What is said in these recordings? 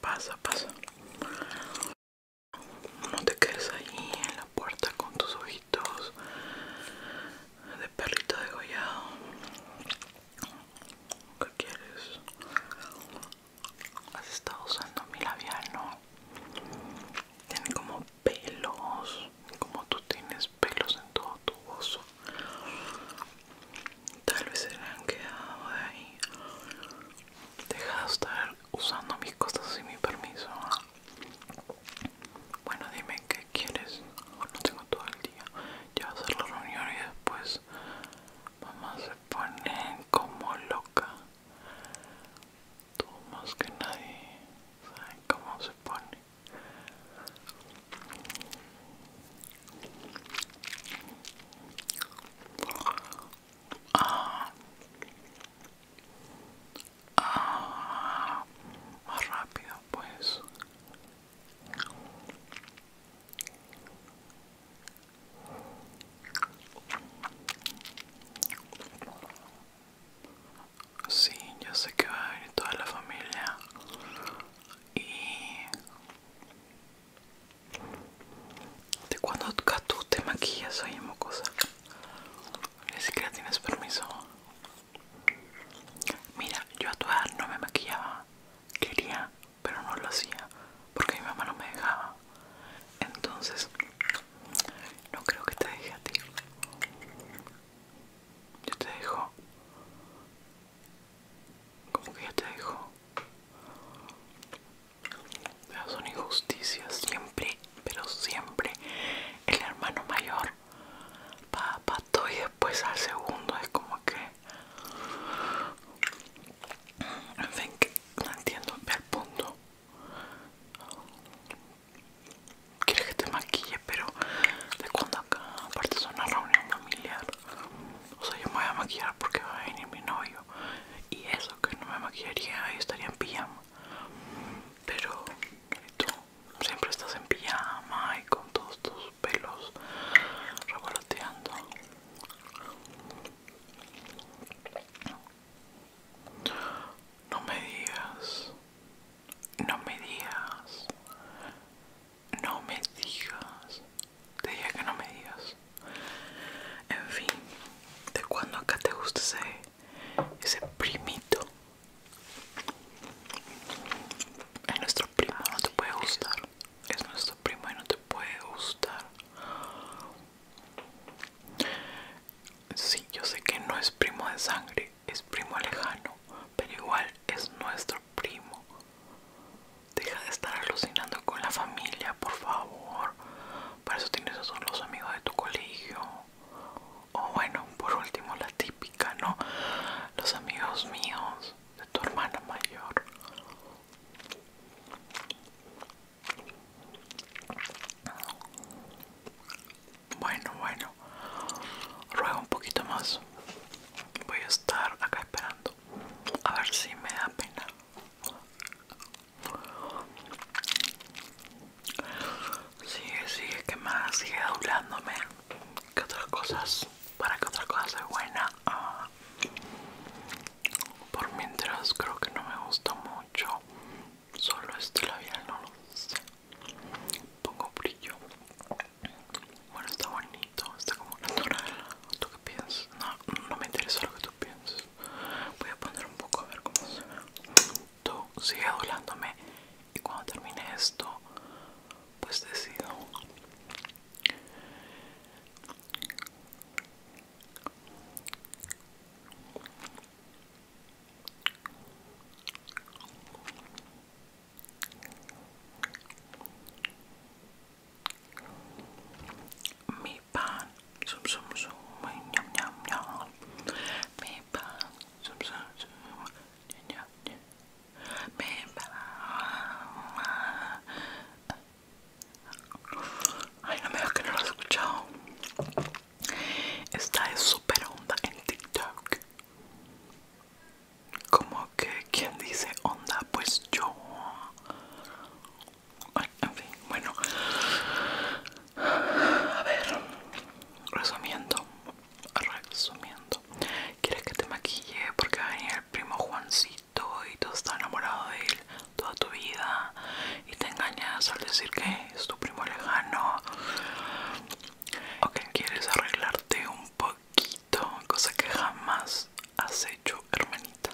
Pasa, pasa. No te quedes ahí en la puerta con tus ojitos de perrito degollado. ¿Qué quieres? Has estado usando mi labial, ¿no? Tiene como pelos, como tú tienes pelos en todo tu oso. Tal vez se le han quedado de ahí. Deja de estar usando mis cosas sin mi permiso. Bueno, dime qué quieres. no oh, tengo todo el día. Ya va a ser la reunión y después mamá se pone como loca. Tú más que nadie sabes cómo se pone. Ah. Más rápido, pues. Sí, ya sé que va a venir toda la familia y de cuando tú te maquillas, oye, mocosa. Ni siquiera tienes permiso. Mira, yo a tu edad no me maquillaba. Quería, pero no lo hacía. Porque mi mamá no me dejaba. Entonces, no creo que te deje a ti. Yo te dejo como que ya te dijo son injusticias siempre pero siempre el hermano mayor para todo y después al segundo es como que en fin que no entiendo el punto quieres que te maquille pero de cuando acá aparte es una reunión familiar o sea, yo me voy a maquillar porque va a venir mi novio. Y eso, que no me maquillaría, y estaría en pijama. Pero tú siempre estás en pijama y con todos tus pelos revoloteando. No me digas, no me digas no me digas. Te dije que no me digas. En fin, de cuando acá te guste ese, ese primito. Es nuestro primo, no te puede gustar. Es nuestro primo y no te puede gustar. Sí, yo sé que no es primo de sangre, es primo lejano, pero igual es nuestro primo. Deja de estar alucinando con la familia, por favor. Para eso tienes a los amigos de tu colegio. O bueno, por último, la típica, ¿no? Los amigos míos, de tu hermana mayor. Bueno, bueno ruego un poquito más voy a estar acá esperando a ver si me da pena sigue sigue que más sigue doblándome que otras cosas para que otras cosas sea buena ah. por mientras creo que no me gusta mucho solo este labial no lo sé pongo brillo bueno, está bonito, está como natural. ¿Tú qué piensas? No, no me interesa lo que tú piensas. Voy a poner un poco a ver cómo se ve. Tú sigue adulándome y cuando termine esto, pues decido. Mi pan, zum sum zum, Mi pan, Mi pan. Ay, no me digas que escuchado. Esta es super onda en TikTok como que quien dice onda pues yo en fin bueno a ver resumiendo resumiendo quieres que te maquille porque va el primo Juancito y tú estás enamorado de él toda tu vida y te engañas al decir que es tu primo lejano Ok, quieres arreglarte un poquito, cosa que jamás has hecho, hermanita.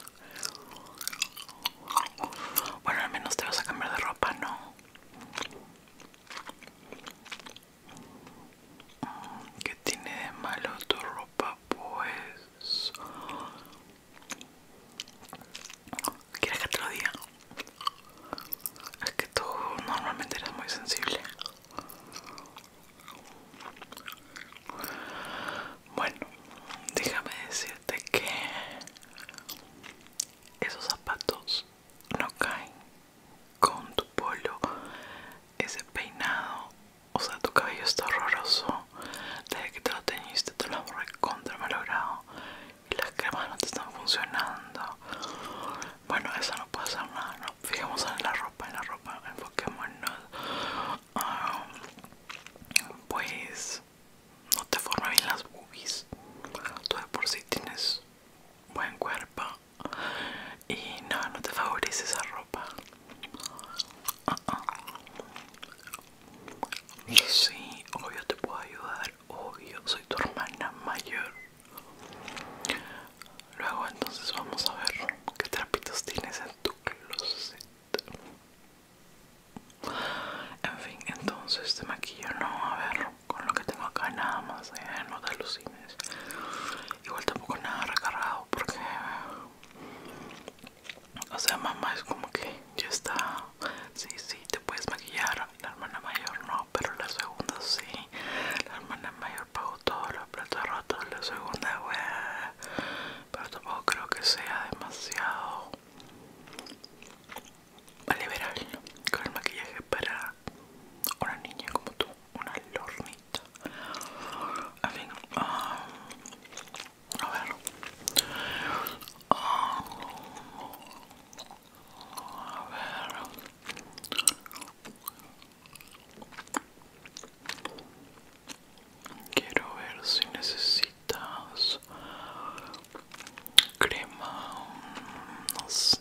Bueno, al menos te vas a cambiar de ropa, ¿no? Mm, ¿Qué tiene de malo tu ropa, pues? ¿Quieres que te lo diga? Es que tú normalmente eres muy sensible. Bueno, déjame decirte que esos zapatos no caen con tu polo, ese peinado, o sea, tu cabello está horroroso. Desde que te lo teñiste, te lo has recontra malogrado y las cremas no te están funcionando. Bueno, eso no puede ser nada, no. Fijémonos en la ropa, en la ropa, enfoquémonos. Ah, pues no te forman bien las boobies. Tú de por sí tienes buen cuerpo. Y no, no te favorece esa ropa. Uh Sí, obvio te puedo ayudar obvio, soy tu hermana mayor. Luego entonces vamos a ver qué trapitos tienes en tu closet. En fin, entonces te maquillo, no, a ver, con lo que tengo acá nada más, eh, no te alucines. Igual tampoco nada recargado porque, o sea, mamá es como que ya está, sí, sí, te puedes maquillar, la, hermana mayor no, pero la segunda sí. La hermana mayor pagó todos los platos rotos, la segunda, wey. Pero tampoco creo que sea demasiado liberal con el maquillaje para una niña como tú, una lornita. En fin, um, a ver. Um, Quiero ver si necesitas crema, no sé.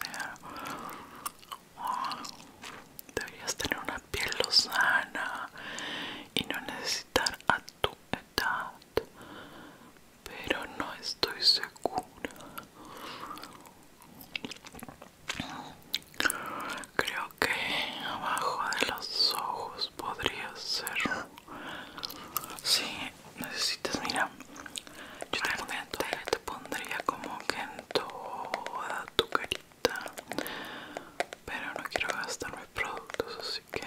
Deberías tener una piel lozana y no necesitar a tu edad pero no estoy segura. Creo que abajo de los ojos podría ser. si necesitas, mira. Yo te, pondría, te pondría como que en toda tu carita. Pero no quiero gastar mis productos, así que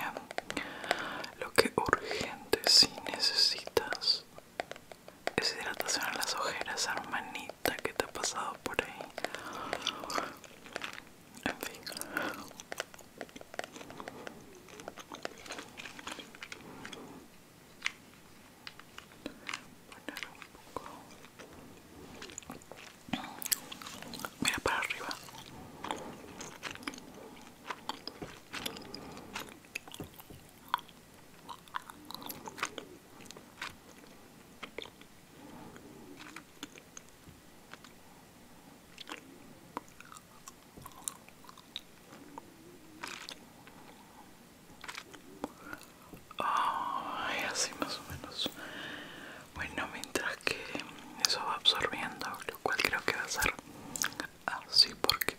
lo que urgente si necesitas Deshidratación en las ojeras, hermanita, ¿qué te ha pasado por ahí? En fin. Mira para arriba así más o menos. Bueno, mientras que eso va absorbiendo, lo cual creo que va a ser así porque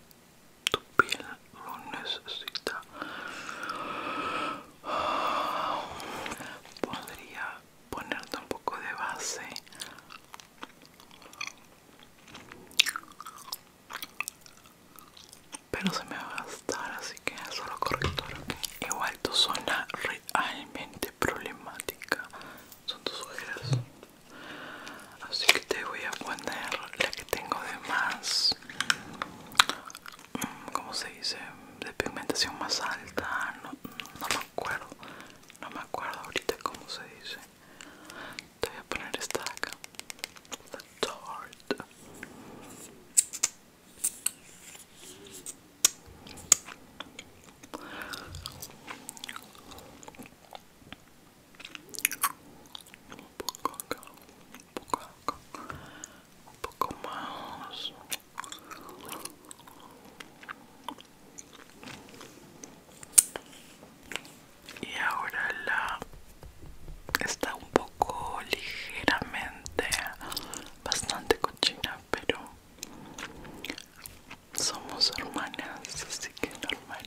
tu piel lo necesita podría ponerte un poco de base pero se me va a gastar así que solo corrector igual tu zona realmente problemática son tus ojeras así que te voy a poner la que tengo de más mm, como se dice de pigmentación más alta no, me acuerdo no me acuerdo ahorita cómo se dice te voy a poner esta acá la un poco acá, un poco acá, un poco más. Y ahora la está un poco ligeramente, bastante cochina, pero somos hermanas, así que normal.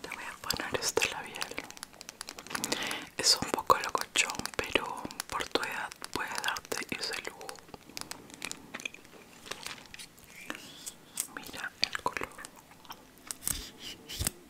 Te voy a poner este labial. Es un poco locochón, pero por tu edad puede darte ese lujo. Mira el color.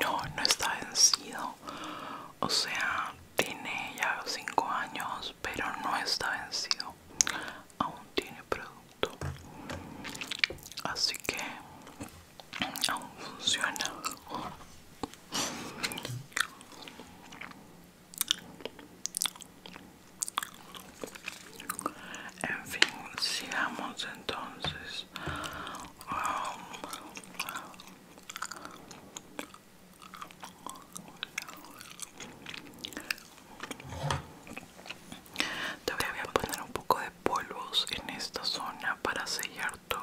No, no está vencido o sea tiene ya 5 años pero no está vencido aún tiene producto así que aún funciona en fin sigamos entonces todavía voy a poner un poco de polvos en esta zona para sellar tu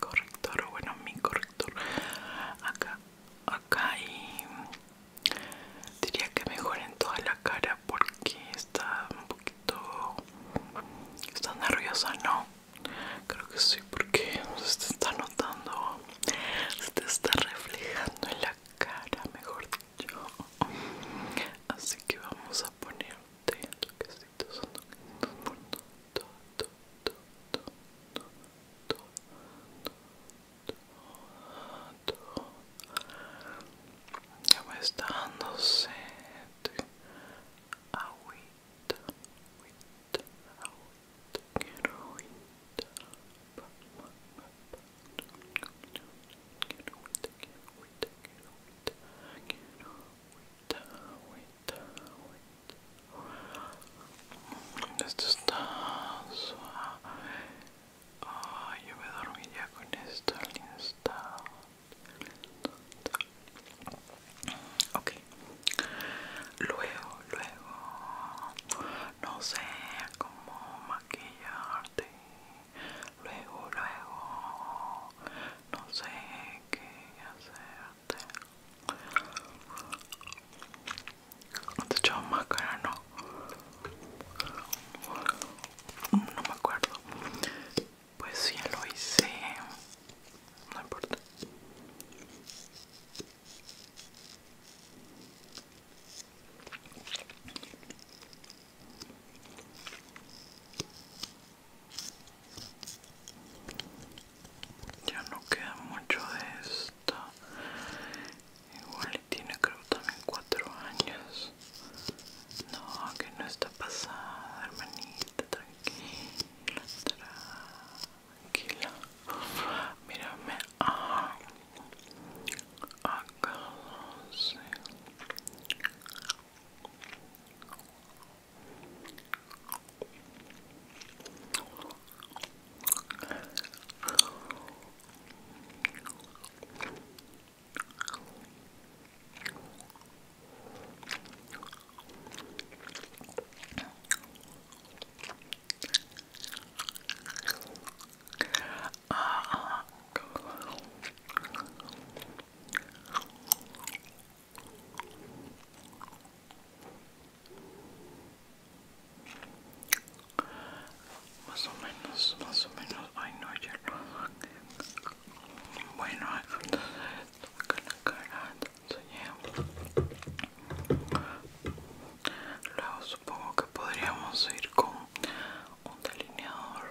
corrector, bueno mi corrector acá, acá y diría que mejor en toda la cara porque está un poquito ¿Estás nerviosa? No. Creo que sí, porque se te está notando, se te está reflejando en la cara, mejor dicho. Así que vamos a ponerte toquecitos, toquecitos, Ya me está agüita, agüita, quiero agüita, quiero agüita, quiero agüita, quiero agüita, quiero agüita, está me con esto ok luego luego no sé cómo maquillarte luego luego no sé qué hacerte te más máscara no no me acuerdo pues sí lo hice. No importa. Ya no queda mucho de esto. Igual tiene creo también cuatro años. No, que no está pasada, hermanita, tranquila, tranquila. Mírame ah, acá, acá sé. Ah, más o menos, más o menos, ay no, ayer Bueno, entonces acá la cara te Luego supongo que podríamos ir con un delineador.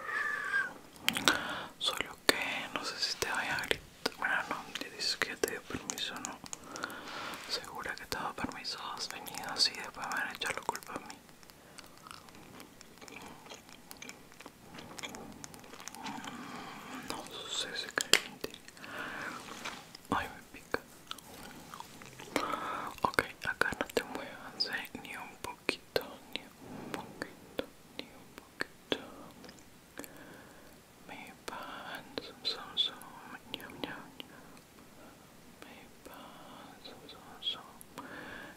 Solo que no sé si te vaya a gritar. Bueno, no, te dices que ya te dio permiso, ¿no? Segura que te ha permiso, has venido así, después me van a echar la culpa a mí. No sé si caliente. Ay, me pica. Ok, acá no te muevas ¿eh? ni un poquito, ni un poquito, ni un poquito. Me pan, zoom, zoom, zoom, ñam, Me pan, zoom, zoom, zoom.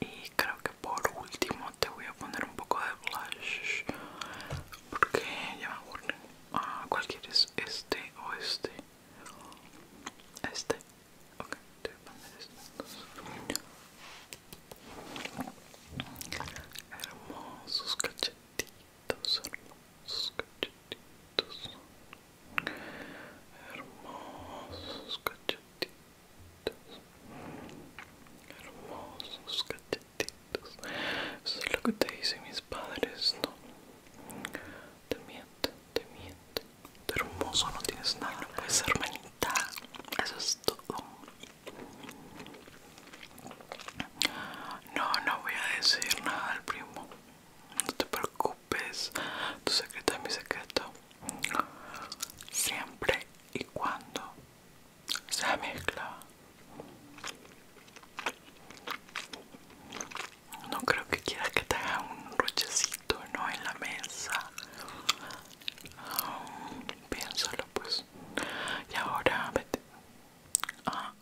Y creo que por último te voy a poner un poco de blush porque ya me acuerdo Ah, ¿Cuál quieres? ¿Este o este? Este. Ok, te voy a poner este Hermosos cachetitos hermosos, cachetitos hermosos, cachetitos hermosos, cachetitos. Eso es lo que te dicen mis padres, ¿no? Te mienten, te mienten. hermoso, no tienes nada, no puedes ser hermanita. Eso es todo. No, no voy a decir nada al primo. No te preocupes, tu secreto es mi secreto. Siempre y cuando sea mezcla. No creo que quieras que te haga un rochecito, ¿no? En la mesa. piénsalo, pues. Y ahora, vete. Ah.